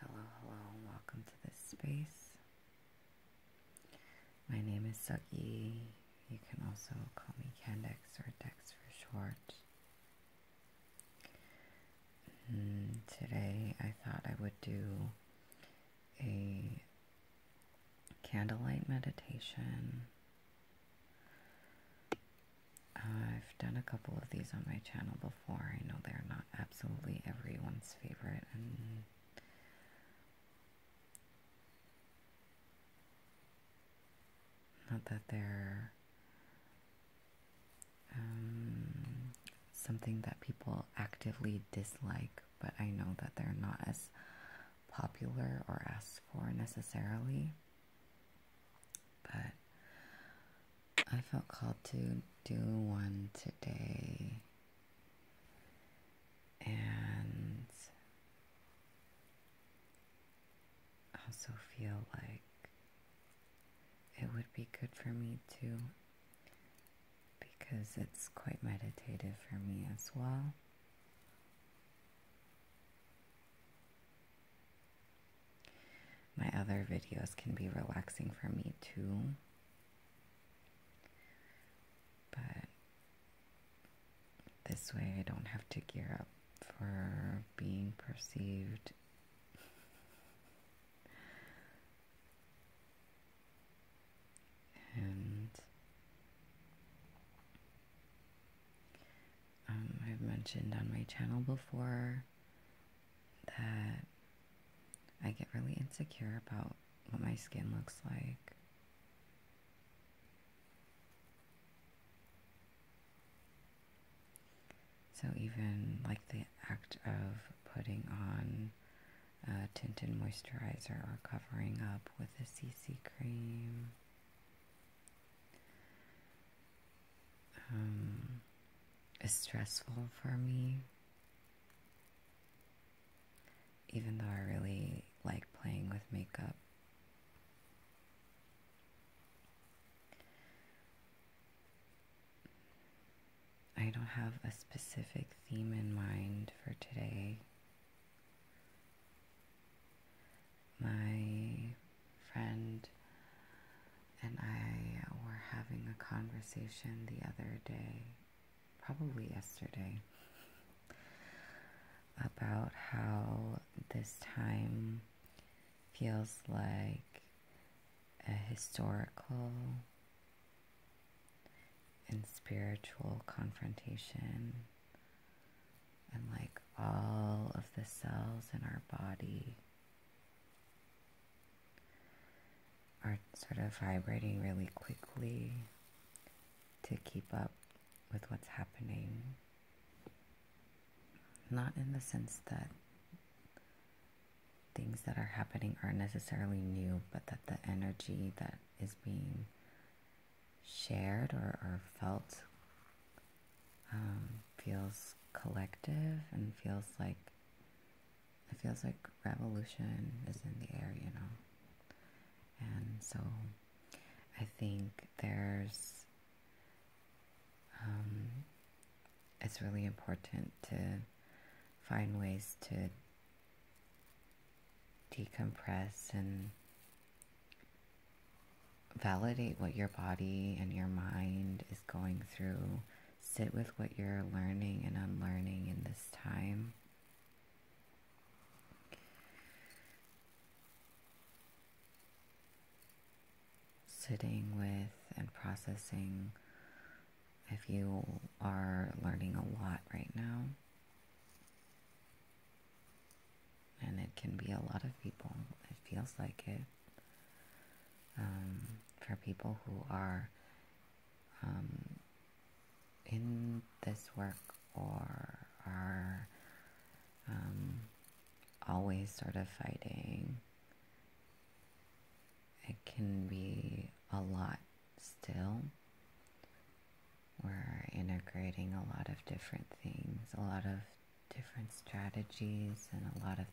Hello, hello, and welcome to this space. My name is Suki. You can also call me Candex or Dex for short. Mm, today I thought I would do a candlelight meditation I've done a couple of these on my channel before. I know they're not absolutely everyone's favorite, and not that they're um, something that people actively dislike, but I know that they're not as popular or asked for necessarily, but I felt called to do one today. And I also feel like it would be good for me too because it's quite meditative for me as well. My other videos can be relaxing for me too. But this way I don't have to gear up for being perceived. And um, I've mentioned on my channel before that I get really insecure about what my skin looks like. So, even like the act of putting on a tinted moisturizer or covering up with a CC cream um, it's stressful for me. Even though I really like playing with makeup. I don't have a specific theme in mind for today. My friend and I were having a conversation the other day, probably yesterday, about how this time feels like a historical and spiritual confrontation and like all of the cells in our body are sort of vibrating really quickly to keep up with what's happening. Not in the sense that things that are happening are necessarily new, but that the energy that is being shared or, or felt um, feels collective and feels like it feels like revolution is in the air, you know. And so I think there's um, it's really important to find ways to decompress and validate what your body and your mind is going through. Sit with what you're learning and unlearning in this time. Sitting with and processing if you are learning a lot right now and it can be a lot of people. It feels like it. Um, for people who are um, in this work or are um, always sort of fighting, it can be a lot still. We're integrating a lot of different things, a lot of different strategies, and a lot of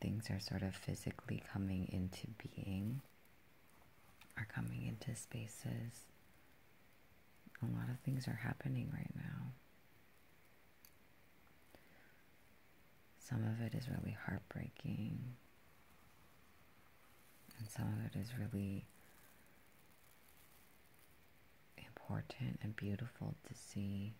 things are sort of physically coming into being, are coming into spaces. A lot of things are happening right now. Some of it is really heartbreaking and some of it is really important and beautiful to see.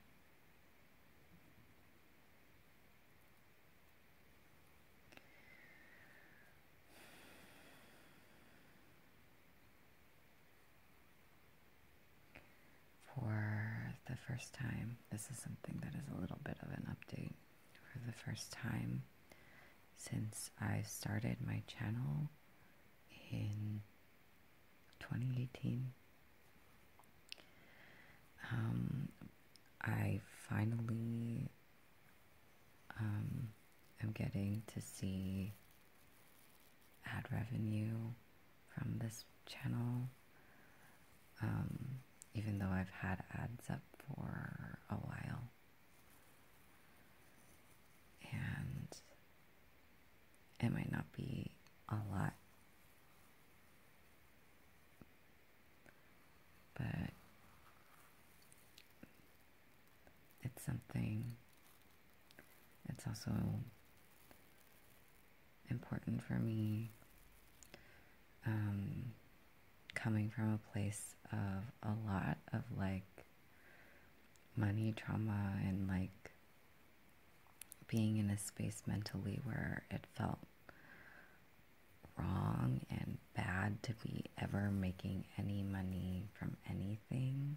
For the first time, this is something that is a little bit of an update for the first time since I started my channel in 2018. Um, I finally um, am getting to see ad revenue from this channel. Um, even though I've had ads up for a while and it might not be a lot, but it's something. It's also important for me. Um, coming from a place of a lot of like money trauma and like being in a space mentally where it felt wrong and bad to be ever making any money from anything.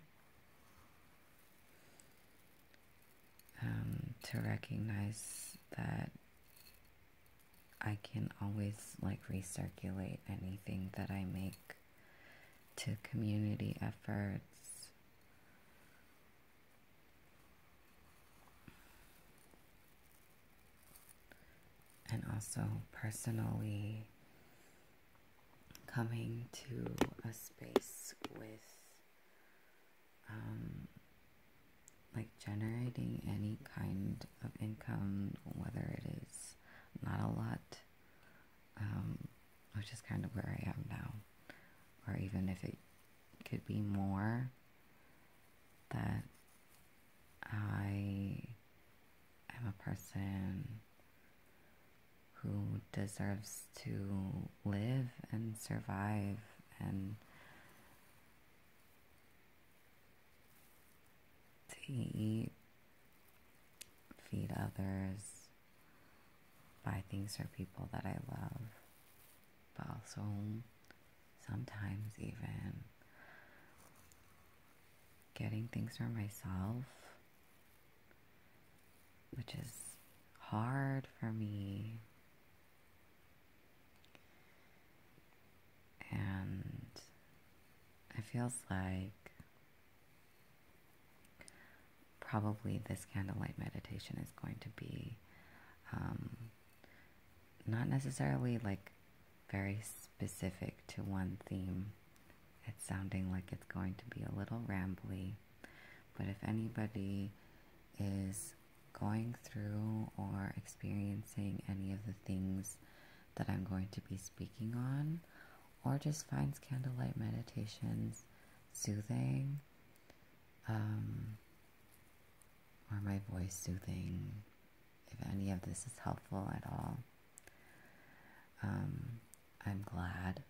Um, to recognize that I can always like recirculate anything that I make to community efforts. And also personally coming to a space with um, like generating any kind of income, whether it is not a lot, um, which is kind of where I am now, or even if it could be more, that I am a person who deserves to live and survive and eat feed others, buy things for people that I love, but also sometimes even getting things for myself, which is hard for me. And it feels like probably this candlelight meditation is going to be um, not necessarily like very specific to one theme. It's sounding like it's going to be a little rambly, but if anybody is going through or experiencing any of the things that I'm going to be speaking on, or just finds candlelight meditations soothing, um, or my voice soothing, if any of this is helpful at all. Um, I'm glad.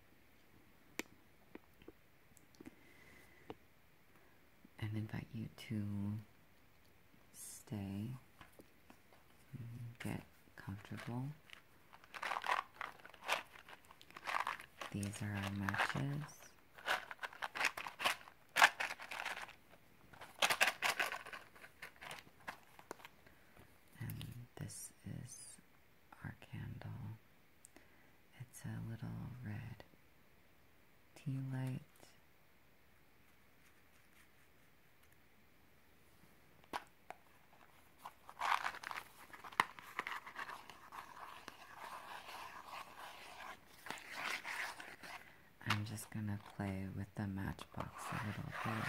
And invite you to stay, get comfortable. These are our matches. And this is our candle. It's a little red tea light. I'm just going to play with the matchbox a little bit.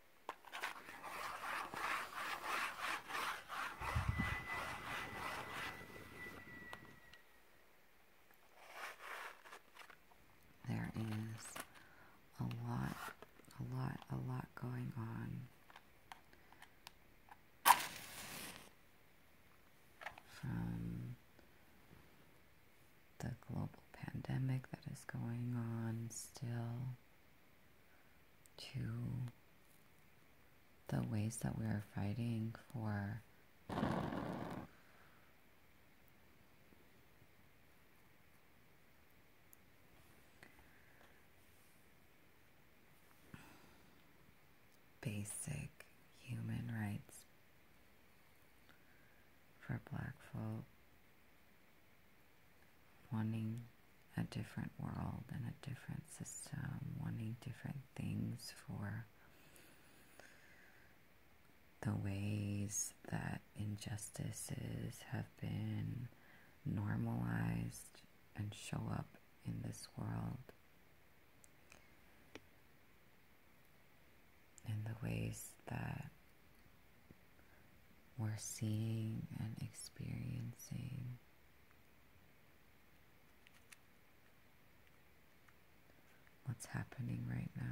There is a lot, a lot, a lot going on. From the global pandemic that is going on still to the ways that we are fighting for basic human rights for black folk wanting a different world and a different system, wanting different things for the ways that injustices have been normalized and show up in this world, and the ways that we're seeing and experiencing. What's happening right now?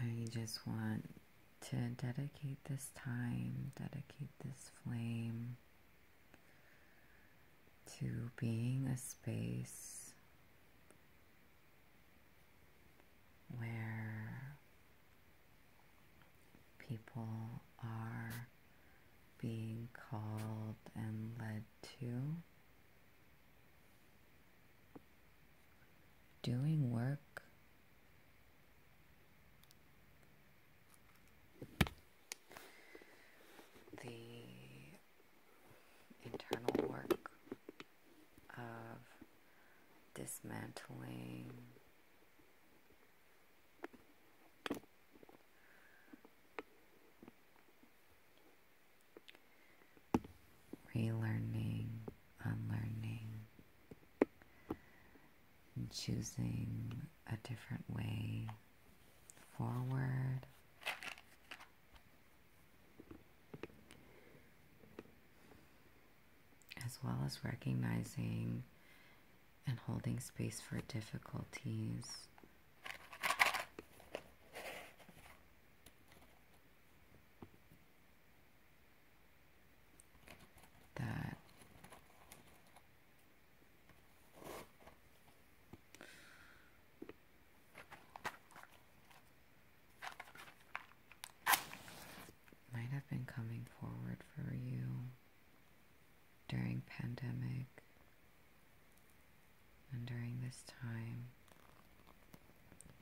I just want to dedicate this time, dedicate this flame to being a space where people are being called and led to doing work the internal work of dismantling relearning unlearning choosing a different way forward. As well as recognizing and holding space for difficulties that might have been coming forward for you during pandemic and during this time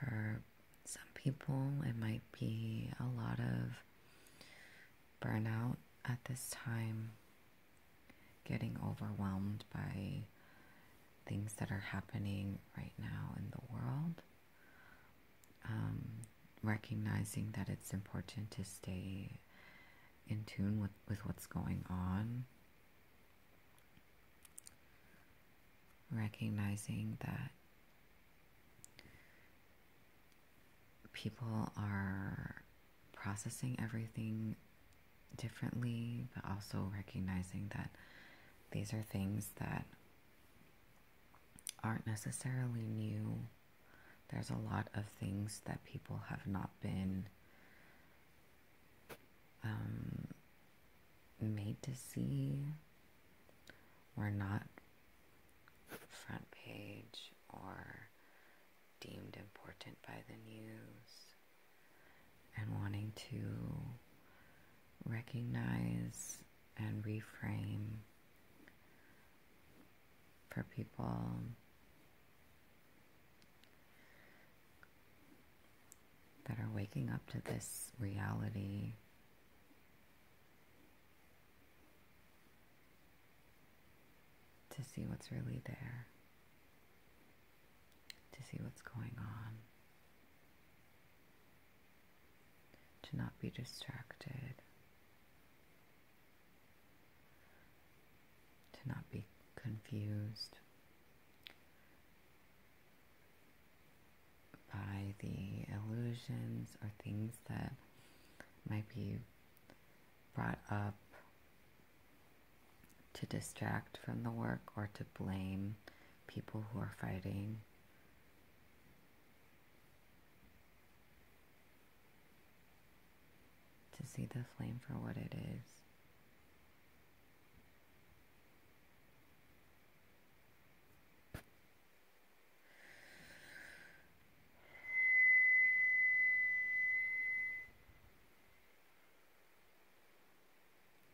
For some people, it might be a lot of burnout at this time, getting overwhelmed by things that are happening right now in the world, um, recognizing that it's important to stay in tune with, with what's going on. Recognizing that people are processing everything differently, but also recognizing that these are things that aren't necessarily new there's a lot of things that people have not been um, made to see. We're not front page or deemed important by the news and wanting to recognize and reframe for people. That are waking up to this reality. To see what's really there, to see what's going on, to not be distracted, to not be confused by the illusions or things that might be brought up to distract from the work or to blame people who are fighting to see the flame for what it is.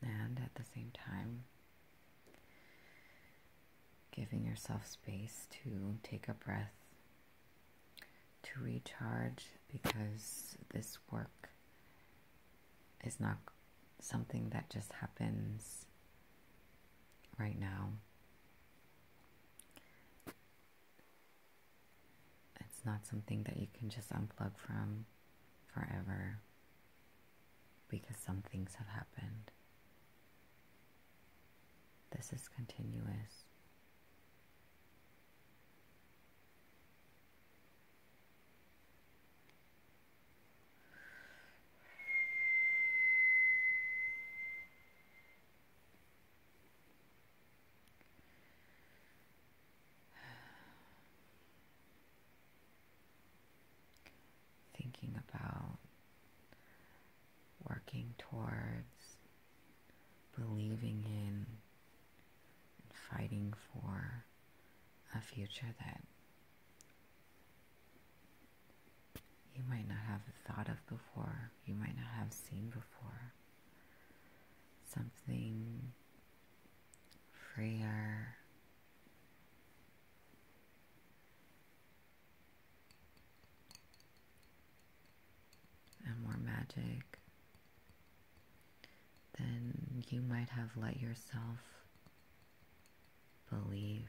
And at the same time, giving yourself space to take a breath, to recharge, because this work is not something that just happens right now. It's not something that you can just unplug from forever because some things have happened. This is continuous. Thinking about working towards, believing in, and fighting for a future that you might not have thought of before, you might not have seen before. Something freer, and more magic, than you might have let yourself believe.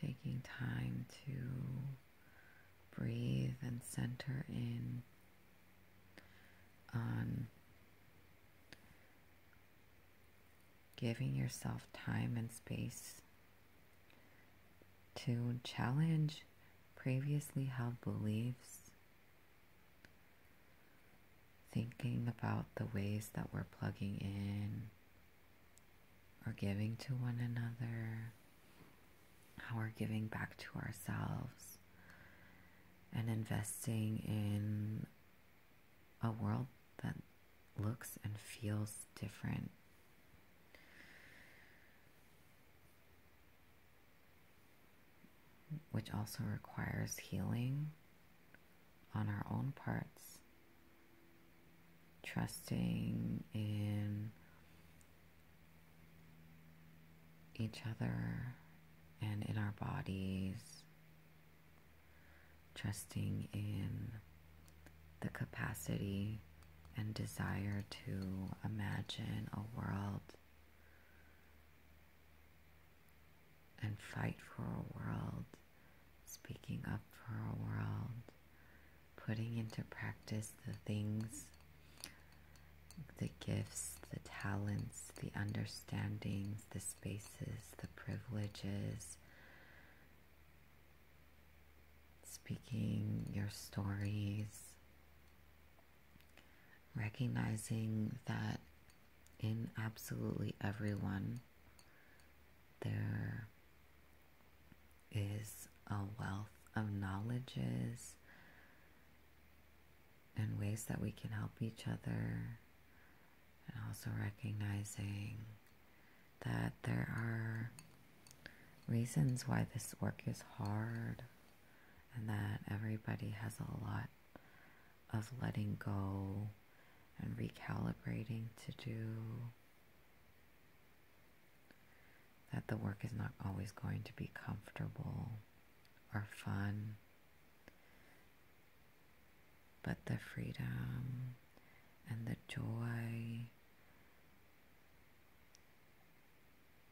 Taking time to breathe and center in on giving yourself time and space to challenge previously held beliefs, thinking about the ways that we're plugging in we giving to one another, how we're giving back to ourselves, and investing in a world that looks and feels different. Which also requires healing on our own parts trusting in each other and in our bodies, trusting in the capacity and desire to imagine a world and fight for a world, speaking up for a world putting into practice the things, the gifts, the talents, the understandings, the spaces, the privileges, speaking your stories, recognizing that in absolutely everyone there is a wealth of knowledges and ways that we can help each other, and also recognizing that there are reasons why this work is hard and that everybody has a lot of letting go and recalibrating to do that the work is not always going to be comfortable or fun, but the freedom and the joy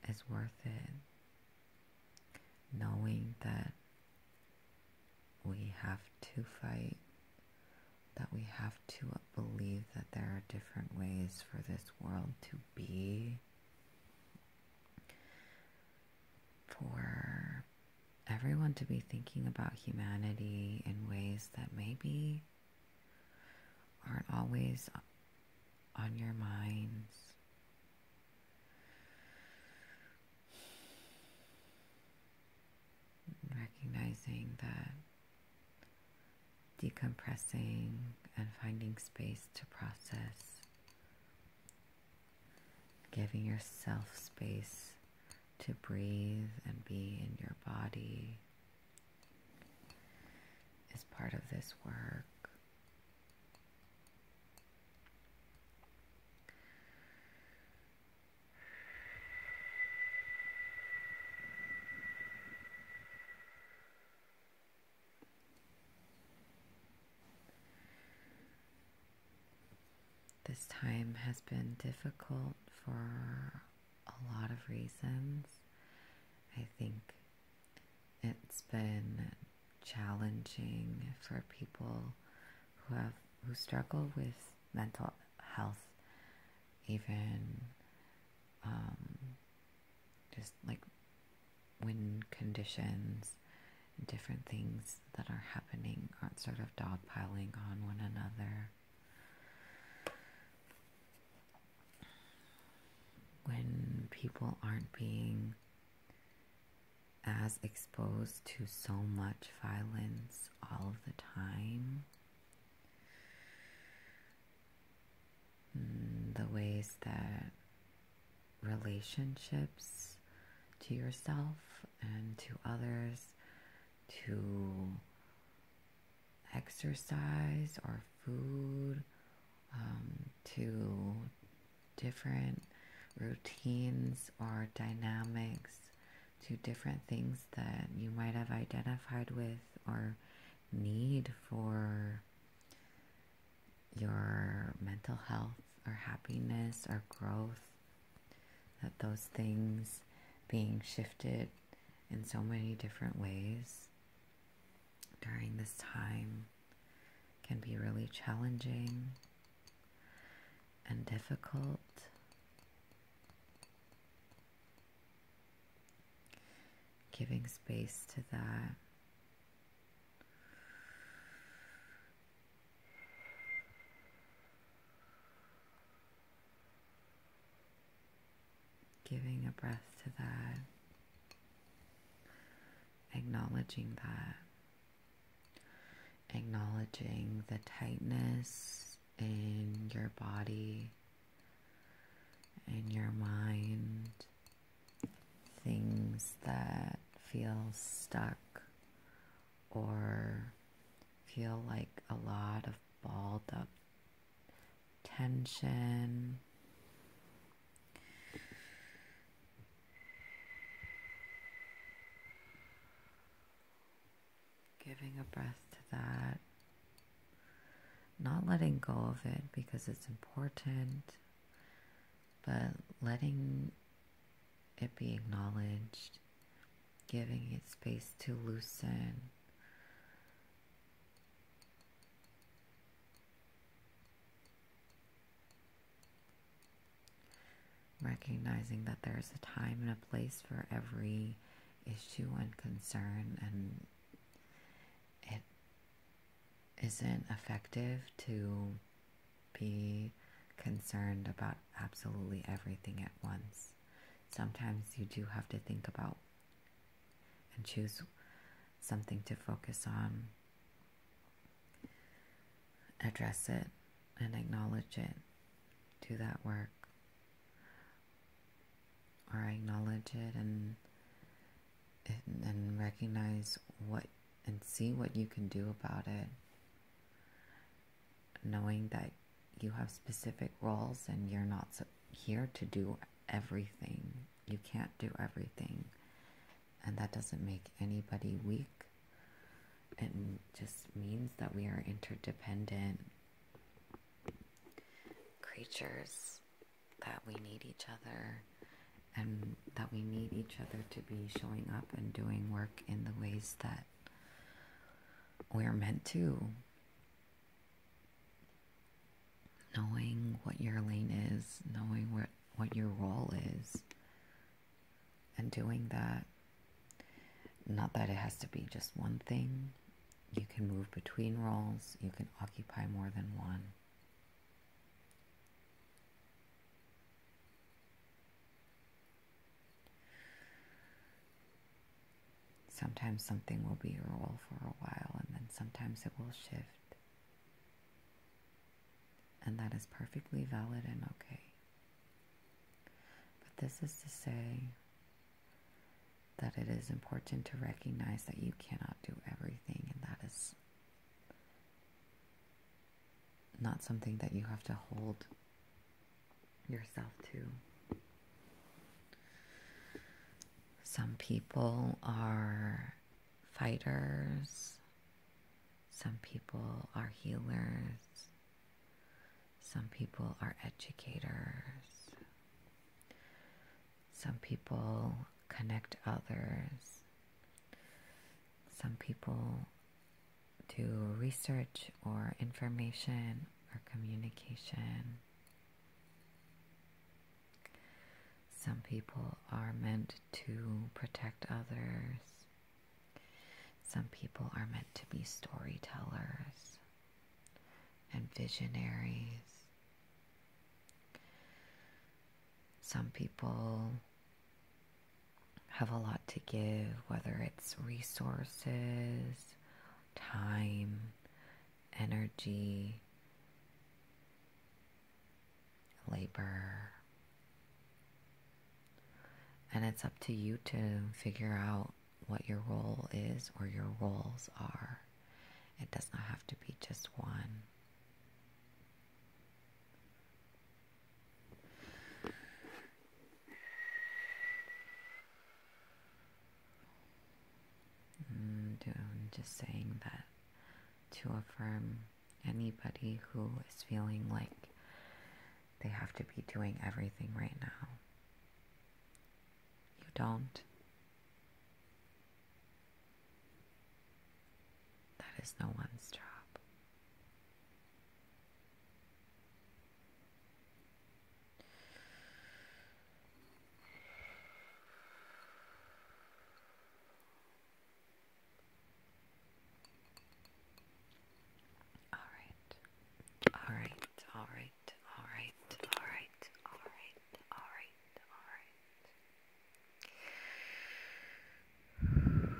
is worth it. Knowing that we have to fight that we have to believe that there are different ways for this world to be, for everyone to be thinking about humanity in ways that maybe aren't always on your minds. Recognizing that decompressing and finding space to process, giving yourself space to breathe and be in your body is part of this work. This time has been difficult for a lot of reasons. I think it's been challenging for people who have who struggle with mental health even um, just like wind conditions and different things that are happening aren't sort of dogpiling on one another. When people aren't being as exposed to so much violence all of the time, Mm, the ways that relationships to yourself and to others, to exercise or food, um, to different routines or dynamics, to different things that you might have identified with or need for your mental health or happiness or growth that those things being shifted in so many different ways during this time can be really challenging and difficult Giving space to that. Giving a breath to that. Acknowledging that acknowledging the tightness in your body in your mind, things that feel stuck or feel like a lot of balled up tension. Giving a breath to that not letting go of it because it's important, but letting it be acknowledged, giving it space to loosen. recognizing that there's a time and a place for every issue and concern and it isn't effective to be concerned about absolutely everything at once. Sometimes you do have to think about and choose something to focus on, address it, and acknowledge it. Do that work or acknowledge it and and, and recognize what and see what you can do about it knowing that you have specific roles and you're not here to do everything. You can't do everything. And that doesn't make anybody weak. It just means that we are interdependent creatures that we need each other and that we need each other to be showing up and doing work in the ways that we're meant to. Knowing what your lane is, knowing what, what your role is, and doing that. Not that it has to be just one thing, you can move between roles. You can occupy more than one. Sometimes something will be your role for a while, and then sometimes it will shift. And that is perfectly valid and okay. But this is to say, that it is important to recognize that you cannot do everything, and that is not something that you have to hold yourself to. Some people are fighters, some people are healers, some people are educators. Some people connect others. Some people do research or information or communication. Some people are meant to protect others. Some people are meant to be storytellers and visionaries. Some people have a lot to give, whether it's resources, time, energy, labor. And it's up to you to figure out what your role is or your roles are. It does not have to be just one. Mm, I'm just saying that to affirm anybody who is feeling like they have to be doing everything right now. You don't. That is no one's job. All right, all right, all right alright alright alright alright alright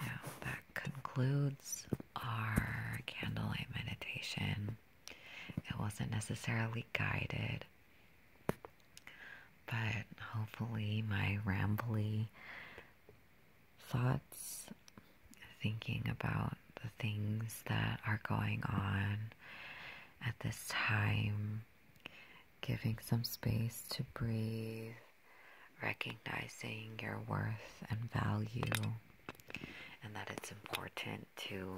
now that concludes our candlelight meditation. It wasn't necessarily guided, but hopefully, my rambly thoughts, thinking about the things that are going on at this time, giving some space to breathe recognizing your worth and value, and that it's important to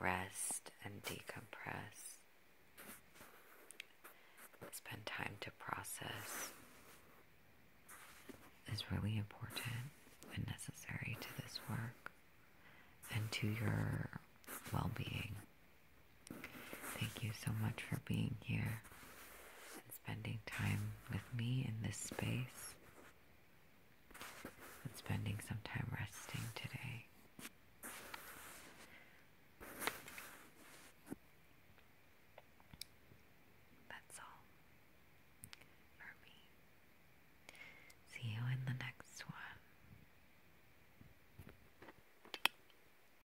rest and decompress, spend time to process is really important and necessary to this work and to your well being. Thank you so much for being here and spending time with me in this space and spending some time resting today. That's all for me. See you in the next one.